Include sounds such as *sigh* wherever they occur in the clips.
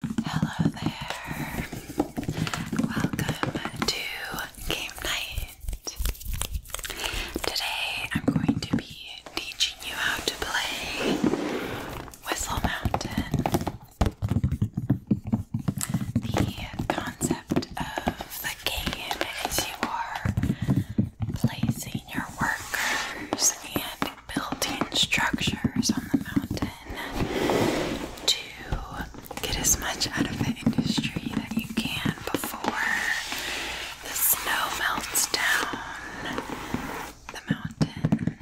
Hello there. Welcome to Game Night. Today I'm going to be teaching you how to play Whistle Mountain. The concept of the game is you are placing your workers and building structures on the mountain to get as much out of the industry that you can before the snow melts down the mountain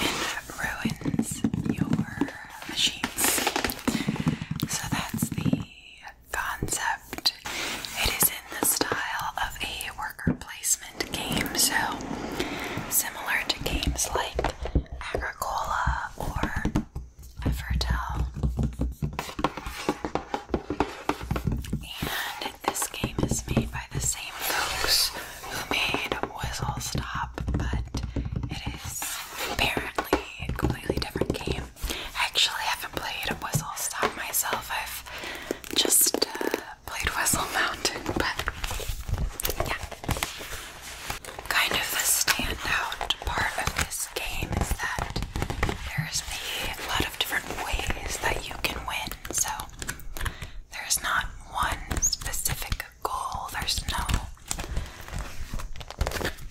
and ruins your machines. So that's the concept. It is in the style of a worker placement investment So, similar to games like Agricola or Evertel. And this game is made by the same folks who made Whistle Stop, but it is apparently a completely different game. I actually haven't played Whistle Stop myself. I've just uh, played Whistle Mountain, but yeah. Kind of the standout part of this game is that there's a lot of different ways that you can win, so there's not one specific goal, there's no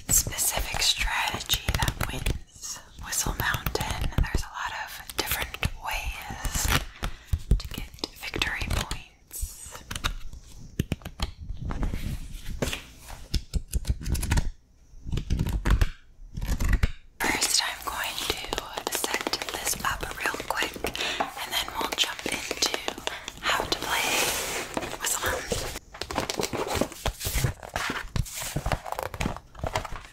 specific strategy that wins. Whistle Mountain, there's a lot of different ways to get victory points. First, I'm going to set this up real quick and then we'll jump into how to play with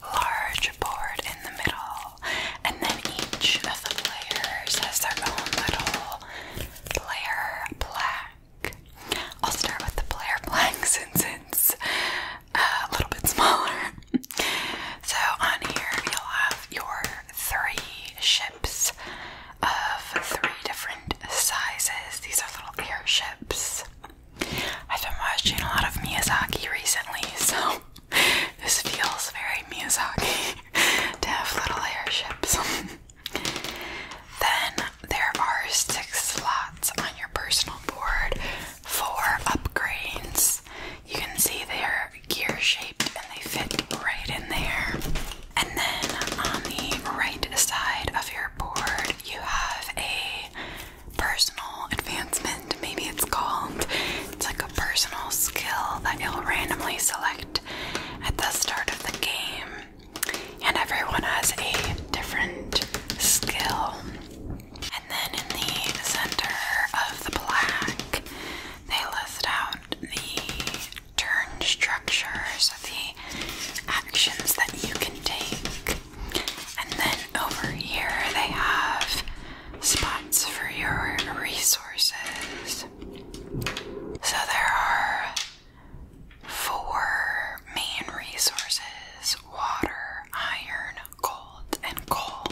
large board in the middle, and then each of the players has their own little player plaque. I'll start with the player plaque *laughs* since it's uh, a little bit smaller. *laughs* so, on here, you'll have your three ships of three different sizes. These are little airships. I've been watching a lot of Miyazaki recently, *laughs* so this feels very Miyazaki *laughs* to have little airships. *laughs* then there are six slots on your personal board for upgrades. You can see they're gear shaped and they fit right in there. And then on the right side of your board, you have a personal advancement, maybe it's called. It's like a personal skill that you'll randomly select at the start of the game. And everyone has a different skill. And then in the center of the black, they list out the turn structures, so the actions that you can take. And then over here, they have spots for your resources. So there are four main resources water, iron, gold, and coal.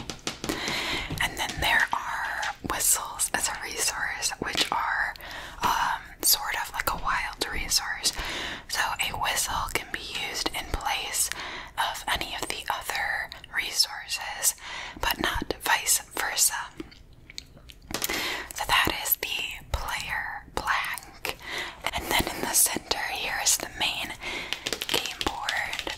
And then there are whistles as a resource, which are um, sort of like a wild resource. So a whistle can be used in place of any of the other resources, but not vice versa. So that is the player blank. And then in the center, here is the main game board.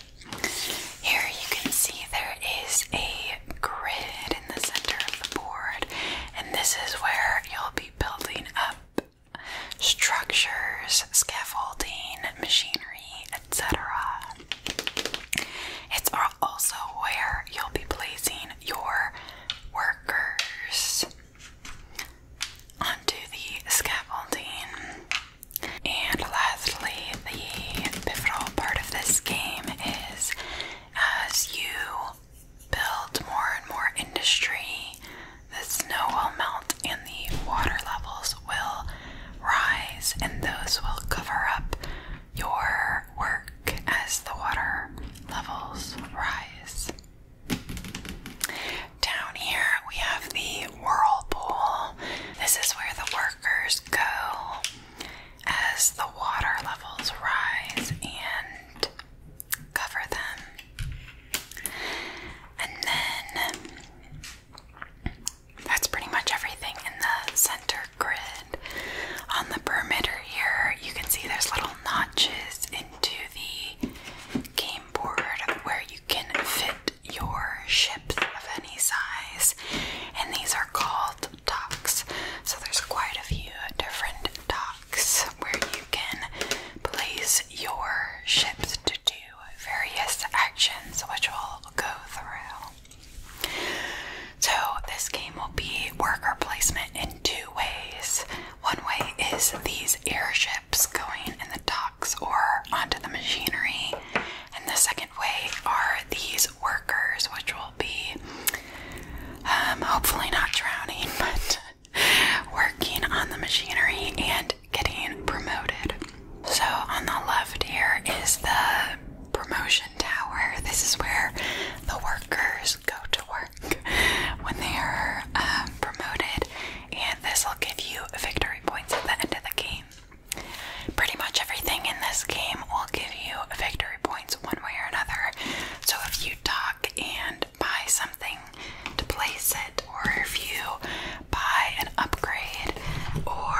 Here you can see there is a grid in the center of the board, and this is where you'll be building up structures, scaffolding, machinery, etc. It's also where you'll be placing your workers onto the scaffolding. And lastly, the pivotal part of this game is as you build more and more industry, the snow will melt and the water levels will rise and those will cover up your work as the water levels rise. Down here we have the whirlpool. This is where the workers go as the water levels rise and cover them. And then that's pretty much everything in the center grid. On the perimeter here, you can see there's little notches into the game board where you can fit your ships of any size, and these are called docks. So there's quite a few different docks where you can place your ships to do various actions which we'll go through. So, this game will be worker placement in two ways. One way is these airships going in the docks or onto the machinery, and the second way are these workers, which will be um, hopefully not drowning, *laughs* but working on the machinery and getting promoted. So on the left here is the promotion tower. This is where the workers go to work when they are um, promoted, and this will give you victory points at the end of the game. Pretty much everything in this game will give you victory points one way or another. So if you talk and buy something to place it or if you buy an upgrade, or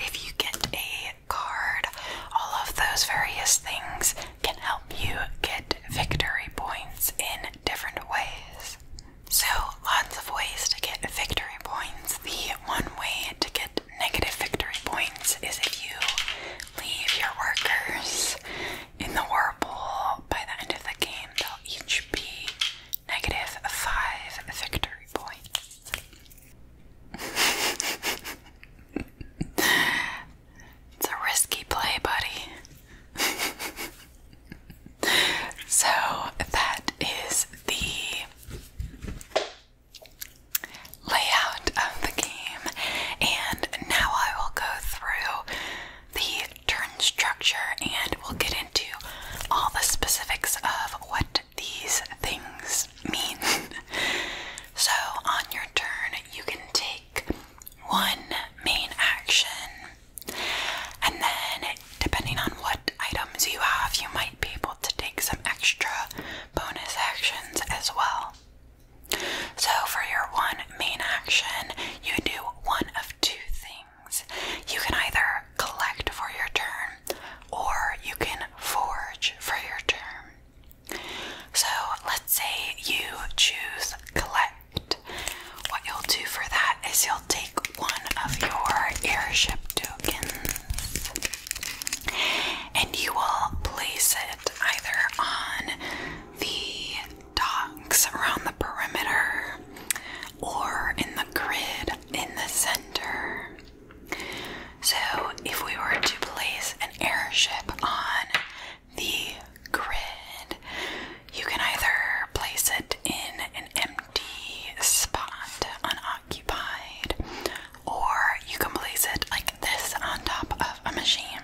if you get a card, all of those various things can help you get victory points in different ways. So, lots of ways to get victory points. The one way to get negative victory points is if you leave your workers in the war pool. By the end of the game, they'll each be negative five victory points. *laughs* it's a risky play, buddy. *laughs* so that is the layout of the game, and now I will go through the turn structure, and we'll get into all the specifics of what these things mean. *laughs* so, on your turn, you can take one main action, and then depending on what items you have, you might be able to take some extra bonus actions as well. So, for your one main action, you do one of two things. You can either collect for your turn or you can forge for your turn. So let's say you choose collect. What you'll do for that is you'll take one of your airship tokens and you will place it either on the docks around the perimeter or in the grid in the center. So, if we were to place an airship on the grid, you can either place it in an empty spot, unoccupied, or you can place it like this on top of a machine.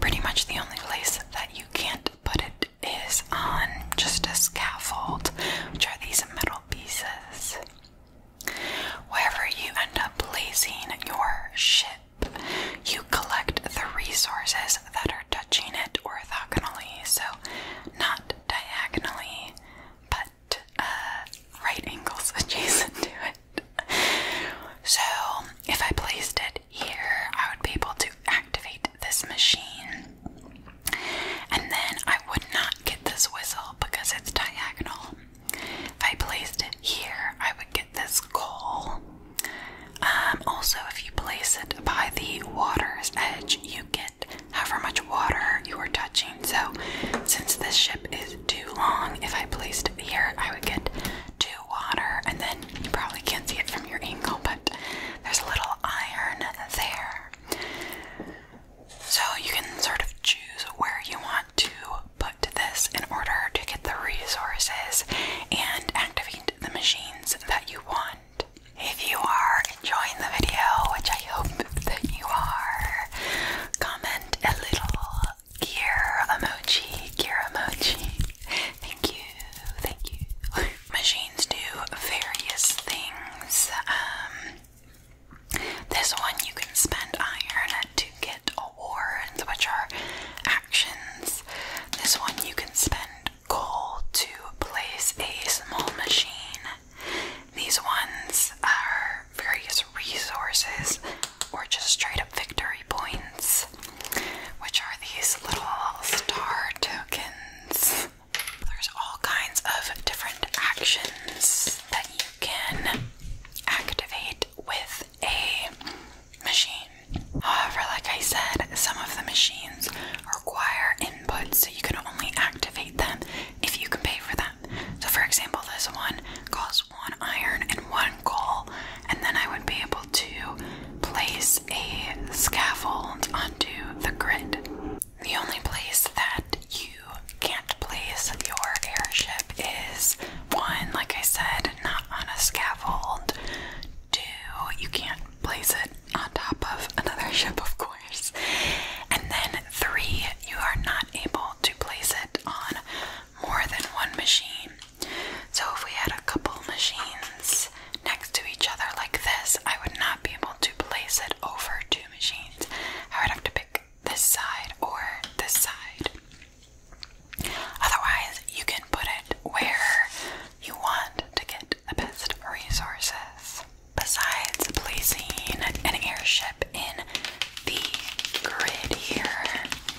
Pretty much the only place that you can't put it is on just a scaffold, which are these metal pieces. Wherever you end up placing your ship, you collect the resources that are touching it orthogonally, so not diagonally, but uh, right angles *laughs* adjacent to it. So, if I placed it here, I would be able to activate this machine. And then I would not get this whistle because it's diagonal. If I placed it here, I would get this coal. Um, also, if you place it by the water's edge, you get however much water you are touching. So, since this ship is too long, if I placed it here, I would get two water. And then you probably can't see it from your angle, but there's a little iron there. So you can sort of choose where you want to put this in order to get the resources and activate the machines that you want. If you are enjoying the video, which I hope that you are, comment a little gear emoji, gear emoji. Thank you, thank you. *laughs* machines do various things. Um, this one you can spend iron to get awards, which are actions. This one you can spend gold to place a small machine. These ones are various resources or just straight up victory points, which are these little star tokens. There's all kinds of different actions that you can activate with a machine. However, like I said, some of the machines require input, so you can only activate them if you can pay for them. So, for example, this one costs one iron and one coal, and then I would be able to place a scaffold onto the grid. The only place that you can't place your airship is one, like I said, not on a scaffold. Two, you can't place it on top of another *laughs* ship, of course. And then three, you are not able to place it on more than one machine. So if we had a couple machines next to each other like this, I would not be able to place it over two machines. I would have to pick this side or this side. Otherwise, you can put it where you want to get the best resources. Besides placing an airship in the grid here,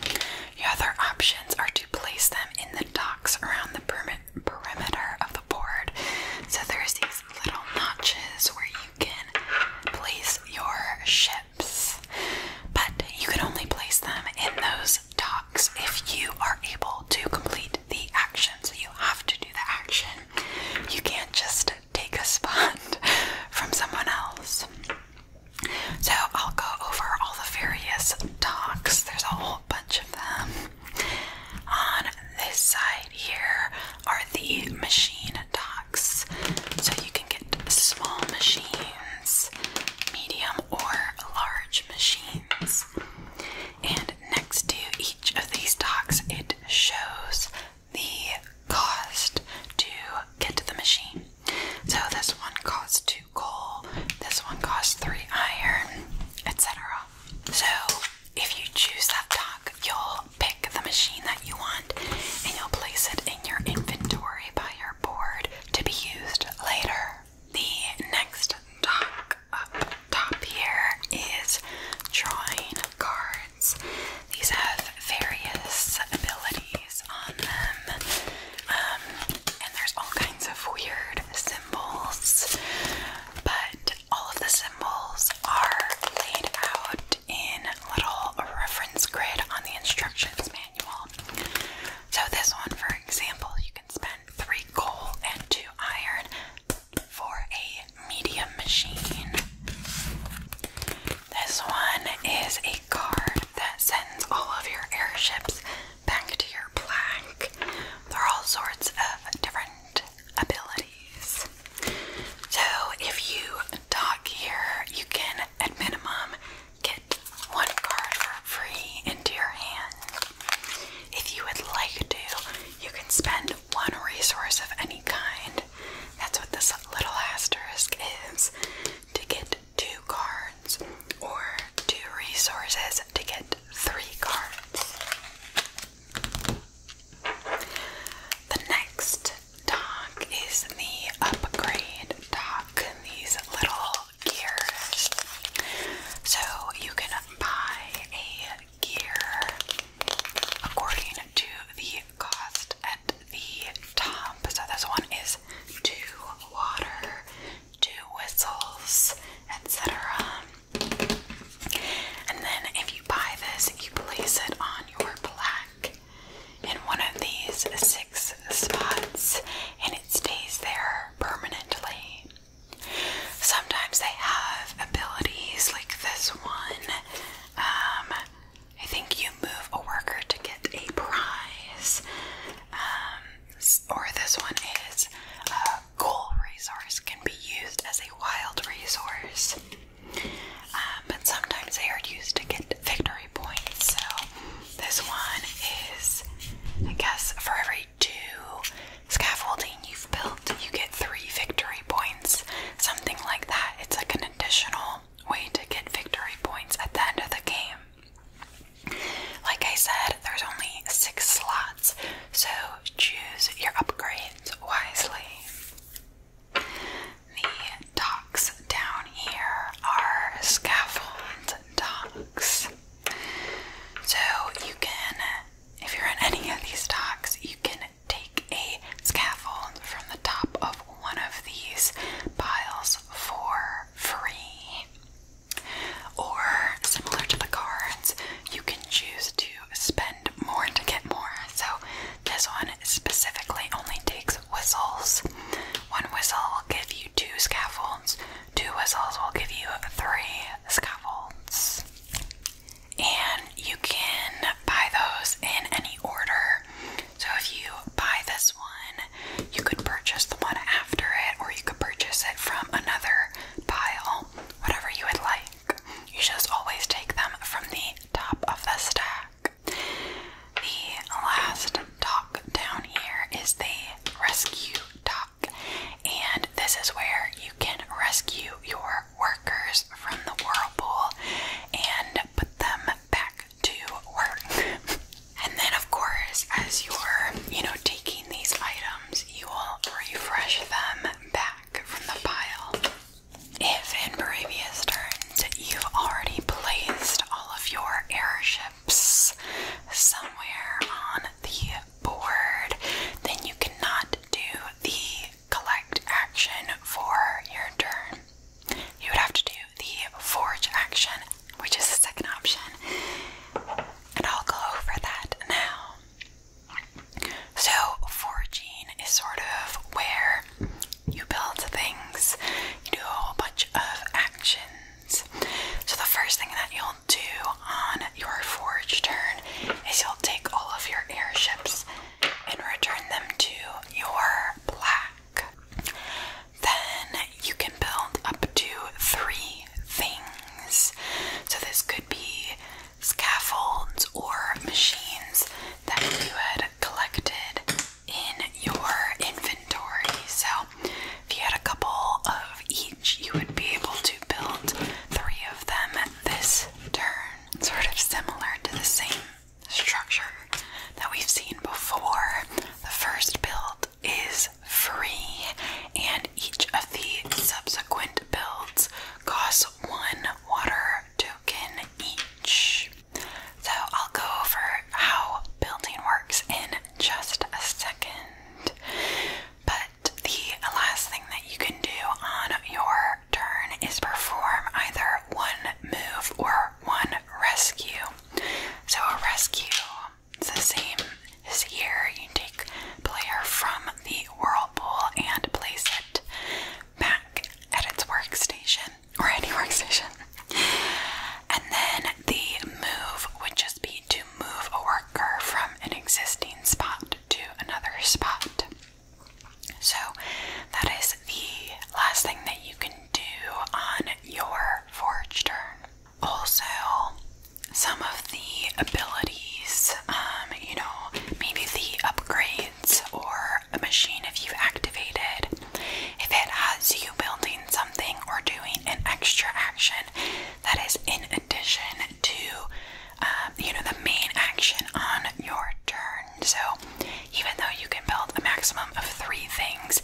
the other options are to place them in the docks around the perimeter of the board. So there's these little notches where you can place your ships, but you can only place them in those docks if you are able to complete the action. So you have to do the action. You can't just take a spot *laughs* from someone else. So I'll go over all the various docks. There's a whole bunch of them. On this side here are the machine docks. So you can get small machines, medium, or large machines. And next to each of these docks, it shows the cost to get to the machine. So this one costs two coal, this one costs three iron, etc. So if you choose that dock, you'll pick the machine that you want and you'll place it in your inventory by your board to be used later. The next dock up top here is drawing cards. These have various abilities on them, um, and there's all kinds of weird, silly symbols, but all of the symbols are laid out in little reference grid on the instructions manual. So, this one, for example, you can spend three coal and two iron for a medium machine. This one is a card that sends all of your airships back to your plaque. There are all sorts of different abilities. So if you talk here, you can at minimum get one card for free into your hand. If you would like to, you can spend one resource of any kind. That's what this little asterisk is to get two cards or two resources to get three cards. The next dock is the upgrade dock, these little gears. So you can buy a gear according to the cost at the top. So this one is two water, two whistles, etc. And then if you buy this, you place it on your plaque in one of these six spots and it stays there permanently. Sometimes they have abilities like this one. Um, I think you move a worker to get a prize. Um, or this one is goal resource can be used as a wild resource, um, but sometimes they are used to get victory points. So this one is, I guess, for every two scaffolding you've built, you get three victory points, something like that. It's like an additional way to get victory points at the end of the game. Like I said, there's only six slots, so choose your upgrades wisely. The docks down here are scaffold docks. So you can, if you're in any of these docks, you can take a scaffold from the top of one of these piles for free. Or, similar to the cards, you can choose to spend more to get more. So, this one specifically only takes whistles. One whistle will give you two scaffolds, two whistles will give you three scaffolds. And you can buy those in any order. So, if you buy this one, you could purchase the one after it, or you could purchase it from another pile whatever you would like. You should just always take them from the top of the stack. The last dock down here is the rescue dock, and this is where you can rescue your workers from the whirlpool and put them back to work. *laughs* and then, of course, as you're, you know, taking these items, you will refresh them back from the pile. If in previous turns you've already placed all of your airships somewhere on the board, then you cannot do the collect action for your turn. You would have to do the forge action, which is the second option, and I'll go over that now. So, foraging is sort of where you build things, you do a whole bunch of actions. So, the first thing that you'll do on your forge turn is you'll take all of your airships and return them to your black. Then you can build up to three things. So, this could be scaffolds or machines that you had collected in your inventory. So, if you had a couple of each, you would be able to build three of them this turn. Sort of similar to the same structure that we've seen before. The first build is free, and each of the subsequent builds costs one water token each. So I'll go over how building works in just a second. But the last thing that you can do on your turn is perform either one move or one rescue. So a rescue it's the same as here. You take player from the whirlpool and place it back at its workstation or any *laughs* workstation. And then the move would just be to move a worker from an existing spot to another spot. So that is the last thing that you can do on your forge turn also some of the abilities, um, you know, maybe the upgrades or a machine if you've activated, if it has you building something or doing an extra action that is in addition to, um, you know, the main action on your turn. So even though you can build a maximum of three things,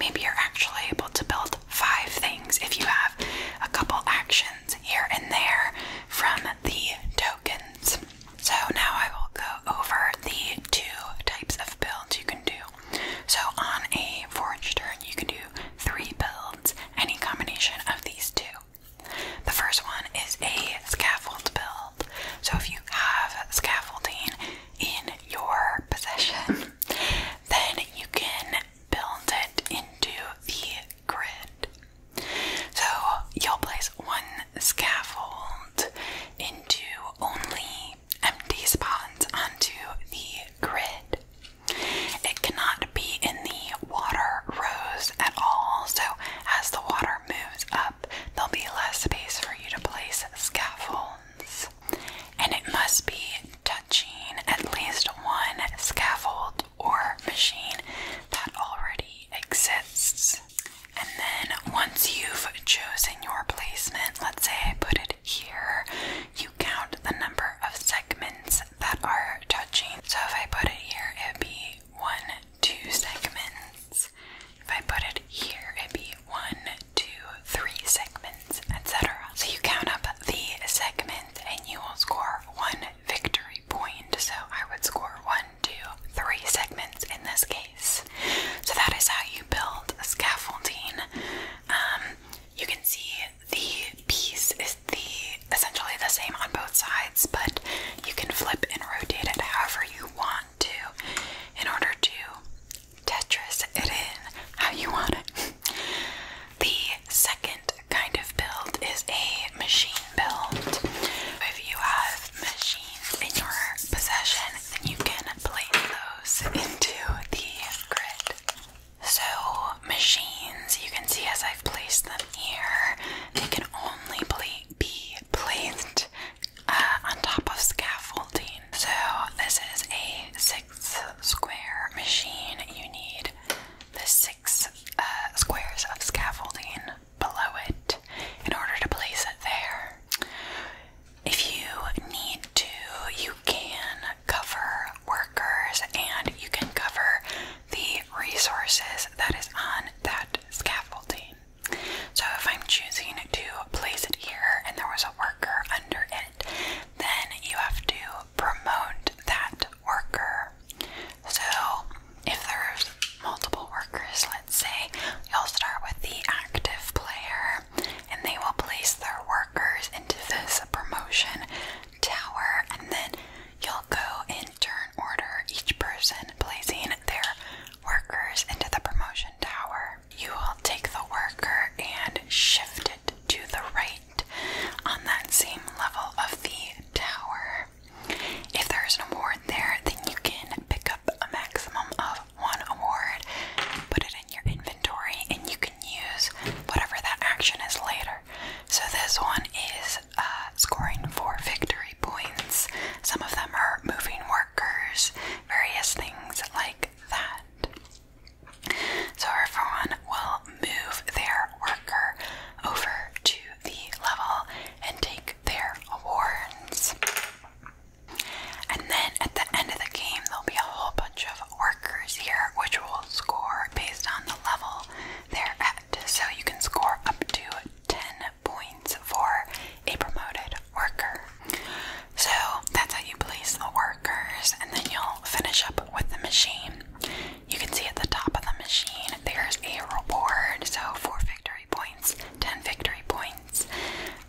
maybe you're actually able to build five things if you have a couple actions here and there from the tokens. So now I will go over the two types of builds you can do. So on a four-inch turn, you can do three builds, any combination of these two. The first one is a scaffold build. So if you have scaffolding in your possession, *laughs* then you can build it into the grid. So you'll place one scaffold into only empty spots onto the grid. It cannot be in the water rows at all, so as the water moves up, there'll be less space for you to place scaffolds. And it must be touching at least one scaffold or machine that already exists. And then once you've chosen your placement, let's say I put it here, you count the number of segments that are touching. So if I put it here, it would be one, two segments. If I put it here, it'd be one, two, three segments etc. So you count up the segment and you will score one victory point. So I would score one, two, three segments in this case. So that is how you build scaffolding. Um, you can see the piece is the essentially the same on both sides, but you can flip and rotate it however you want to in order to Tetris it in how you want it. *laughs* The second kind of build is a machine build. If you have machines in your possession, then you can place those into the grid. So, machines, you can see as I've placed them here, they can only be placed uh, on top of scaffolding. So, this is a six square machine. You need the six uh, squares of scaffolding below it in order to place it there. If you need to, you can cover workers and you can cover the resources that is on that scaffolding. So if I'm choosing to place it here and there was a worker under it, then you have to promote that worker. So, if there's multiple workers, let's say you'll start with the active player and they will place their workers into this promotion tower, and then you'll go in turn order, each person placing their workers into the promotion tower. You will take the worker and shift it to the right on that same level of the tower. If there's an award there, then you can pick up a maximum of one award, put it in your inventory, and you can use whatever that action is later. So this one is uh, scoring for victory points. Some of them are moving workers, various things like that. So everyone will move their worker over to the level and take their awards. And then at the end of the game, there'll be a whole bunch of workers here which will score based on the level they're at. So you can score up to 10 points for a promoted worker. So that's how you place the workers, and then you'll finish up with the machine. You can see at the top of the machine there's a reward. So, four victory points, 10 victory points.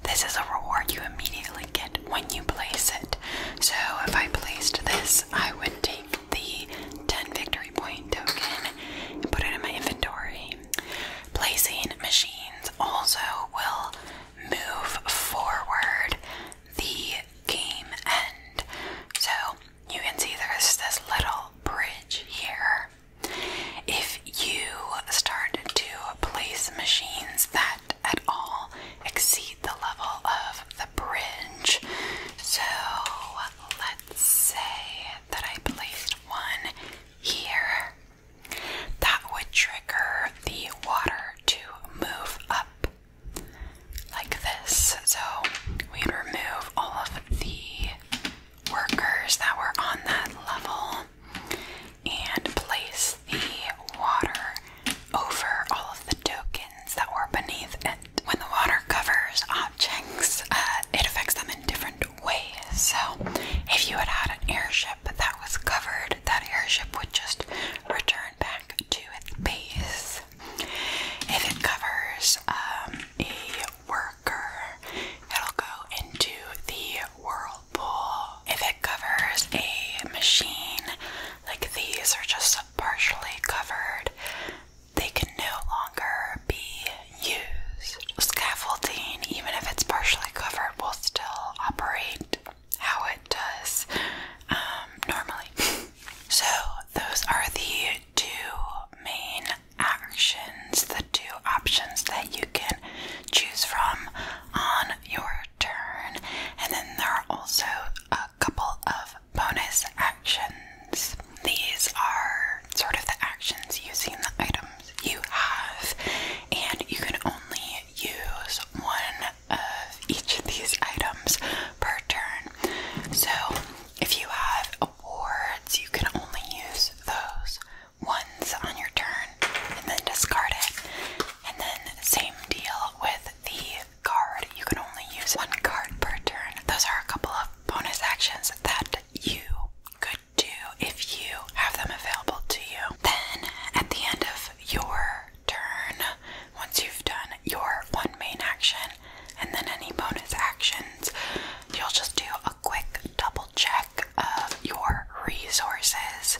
This is a reward you immediately get when you place it. So, if I placed this, I would take the 10 victory point token and put it in my inventory. Placing machines also will move forward the game end. So you can see there's this little bridge here. If you start to place machines that at all exceed the level of the bridge, so let's say that I placed one here, that would trigger the water to move up like this. So we remove all of the workers that were on that level and place the water over all of the tokens that were beneath it. When the water covers objects, uh, it affects them in different ways. So if you had had an airship that was covered, that airship would just return back to its base. If it covers um, a worker, it'll go into the whirlpool. If it covers a machine, like these are just partially covered, they can no longer be used. Scaffolding, even if it's partially covered, will still operate how it does um, normally. so, those are the two main actions, the two options that you can choose from on your turn, and then there are also a couple of bonus actions. These are sort of the actions using the items you have, and you can only use one of each of these items per turn. So if you have awards, you can only use those ones on your turn and then discard it. And then, same deal with the card, you can only use one card per turn. Those are a couple of bonus actions that you could do if you have them available to you. Then, at the end of your turn once you've done your one main action and then any bonus actions. You'll just do a quick double check of your resources.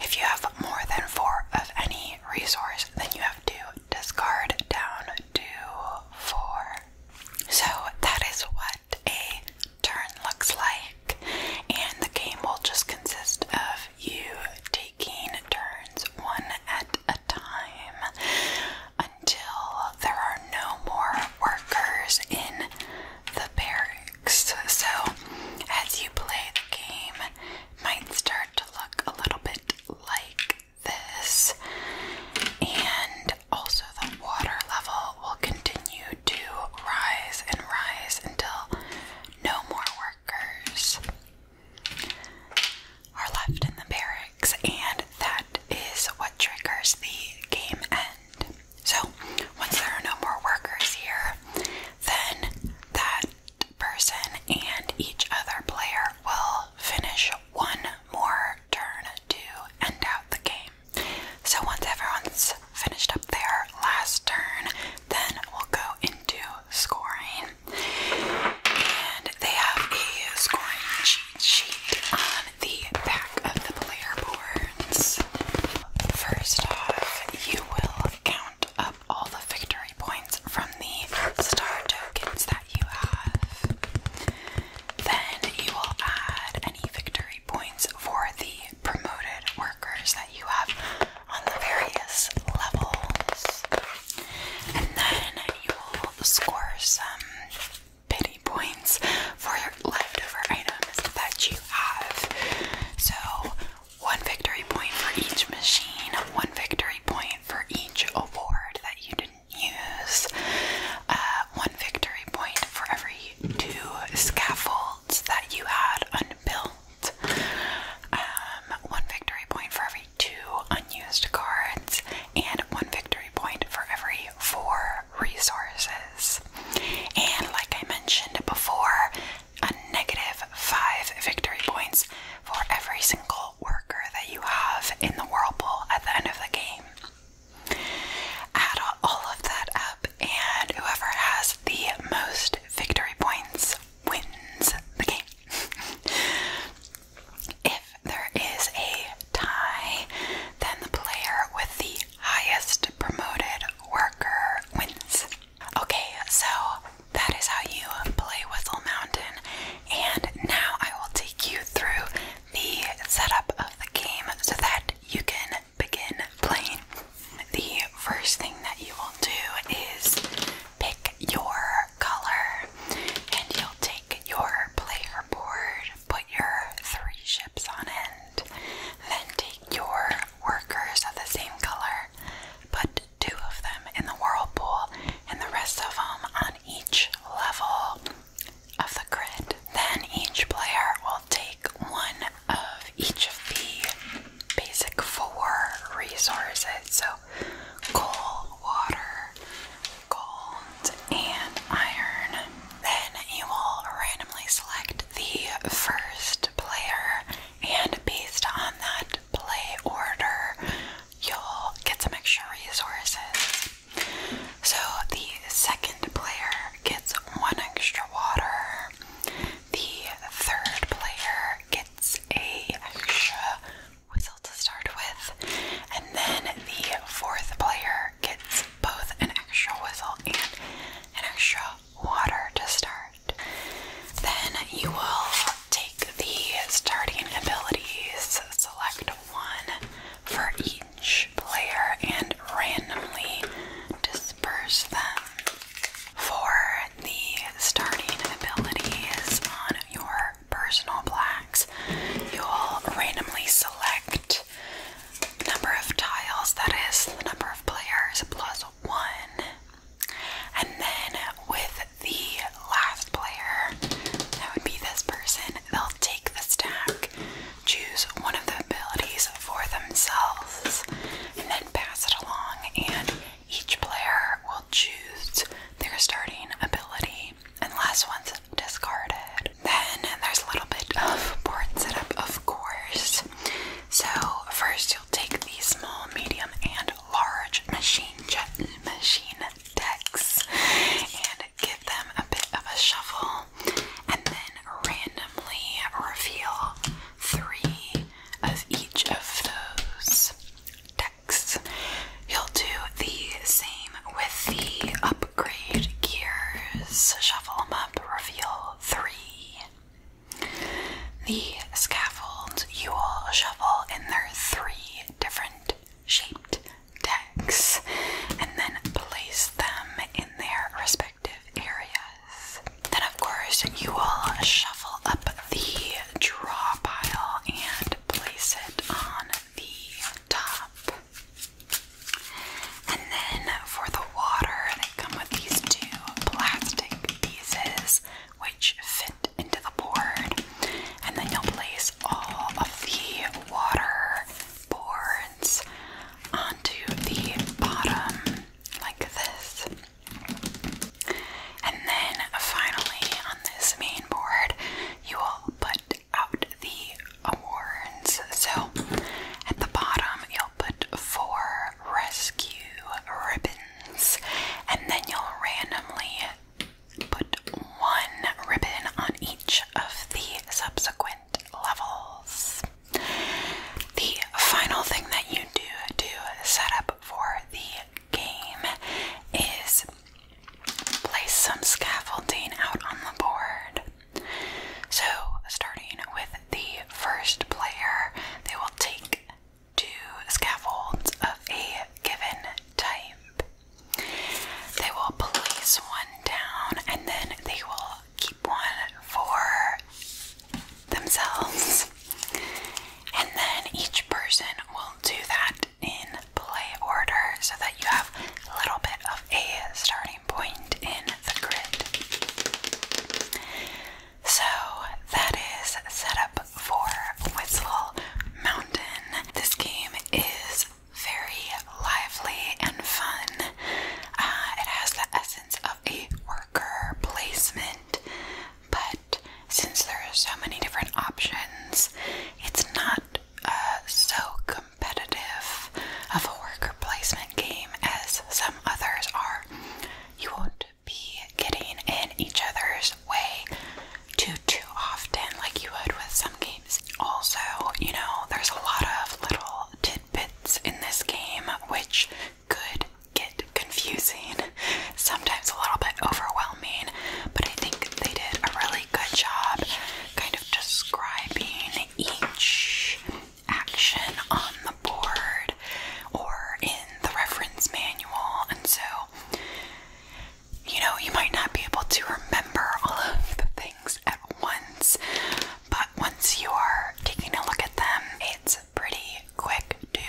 If you have more than four of any resource, then you have to discard down to four. So that is what a turn looks like, and the game will just consist of you taking turns one at a time until there are no more workers in the barracks. So, as you play the game, might start to look a little bit like this, and also the water level will continue to rise and rise until no more workers are left in the barracks, and that is what triggers the game end. So, once there are no more workers here, then that person and each other player will finish one more turn to end out the game. So, once everyone's finished up their last turn, then we'll go into scoring and they have a scoring cheat sheet on the back of the player boards. First off, you will count up all the victory points from the star tokens that you have. Then you will add any victory points for the promoted workers that you have on the various levels. And then you will score some pity points for your leftover items that you have. So, one victory point for each machine, one victory point for each award that you didn't use, uh, one victory point for every two scaffolds that you had unbuilt. *laughs* Um, one victory point for every two unused cards, and one victory point for every four resources. And like I mentioned before, a negative five victory points for every single worker that you have in the whirlpool at the end of the game. Add all of that up, and whoever has the most victory points wins the game. *laughs* if there is a tie, then the player with the highest promoted worker wins. Okay, so that is how you play Whistle Mountain, and now I will take you through the setup of the game so that you can begin playing. The first thing that you will do is pick your color, and you'll take your player board, put your three ships on end, then take your workers of the same color, put two of them in the whirlpool, and the rest of them on each level of the grid. Then each player will take one of each of the basic four resources. So cold water, gold, and iron. Then you will randomly select the first player, and based on that play order, you'll get some extra resources. So the second player gets one extra water. The third player gets a extra whistle to start with, and then the fourth player gets both an extra whistle and an extra water to start. Then you will take the starting abilities, select one for each player, and randomly disperse them for the starting abilities on your personal blacks, you'll randomly select the number of tiles, that is, the number of players, plus one. And then with the last player, that would be this person, they'll take the stack, choose one of the abilities for themselves, and then pass it along and each player will choose their starting ability unless one's discarded. Then there's a little bit of board setup, of course. So, first you'll take the small, medium, and large machine jet machine decks and give them a bit of a shuffle and then randomly reveal three of each of those decks. You'll do the same with the upgrade gears. Shuffle them up, reveal three. The scaffolds you will shuffle in their three different shaped decks and then place them in their respective areas. Then, of course, you will shuffle up the draw pile and place it on the top. And then for the water, they come with these two plastic pieces which fit into the board. And then you'll place all of the water boards onto the bottom, like this. And then finally, on this main board, you will put out the awards. So at the bottom, you'll put four rescue ribbons, and then you'll randomly put one ribbon on each of the subsequent levels. The final thing that you do to set up for the game is place some scaffolding out on the board. So, starting with the first player, they will take two scaffolds of a given type. They will place one down and then they will keep one for themselves. And then each person will do that in play order so that you have a little bit of a starting point in the grid. So that is set up for Whistle Mountain. This game is very lively and fun. Uh, it has the essence of a worker placement, but since there are so many different options, it's not uh, so competitive of a worker placement game as some others are. You won't be getting in each other's way too too often like you would with some games. Also, you know, there's a lot of little tidbits in this game which could get confusing, sometimes a little bit overwhelming, but I think they did a really good job kind of describing each action on the board or in the reference manual. And so, you know, you might not be able to remember all of the things at once, but once you are taking a look at them, it's pretty quick to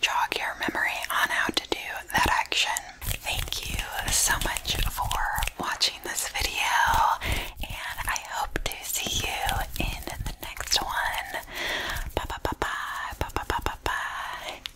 jog your memory on how to do that action. Thank you so much for watching this video, and I hope to see you in the next one. Bye bye bye bye bye bye bye bye.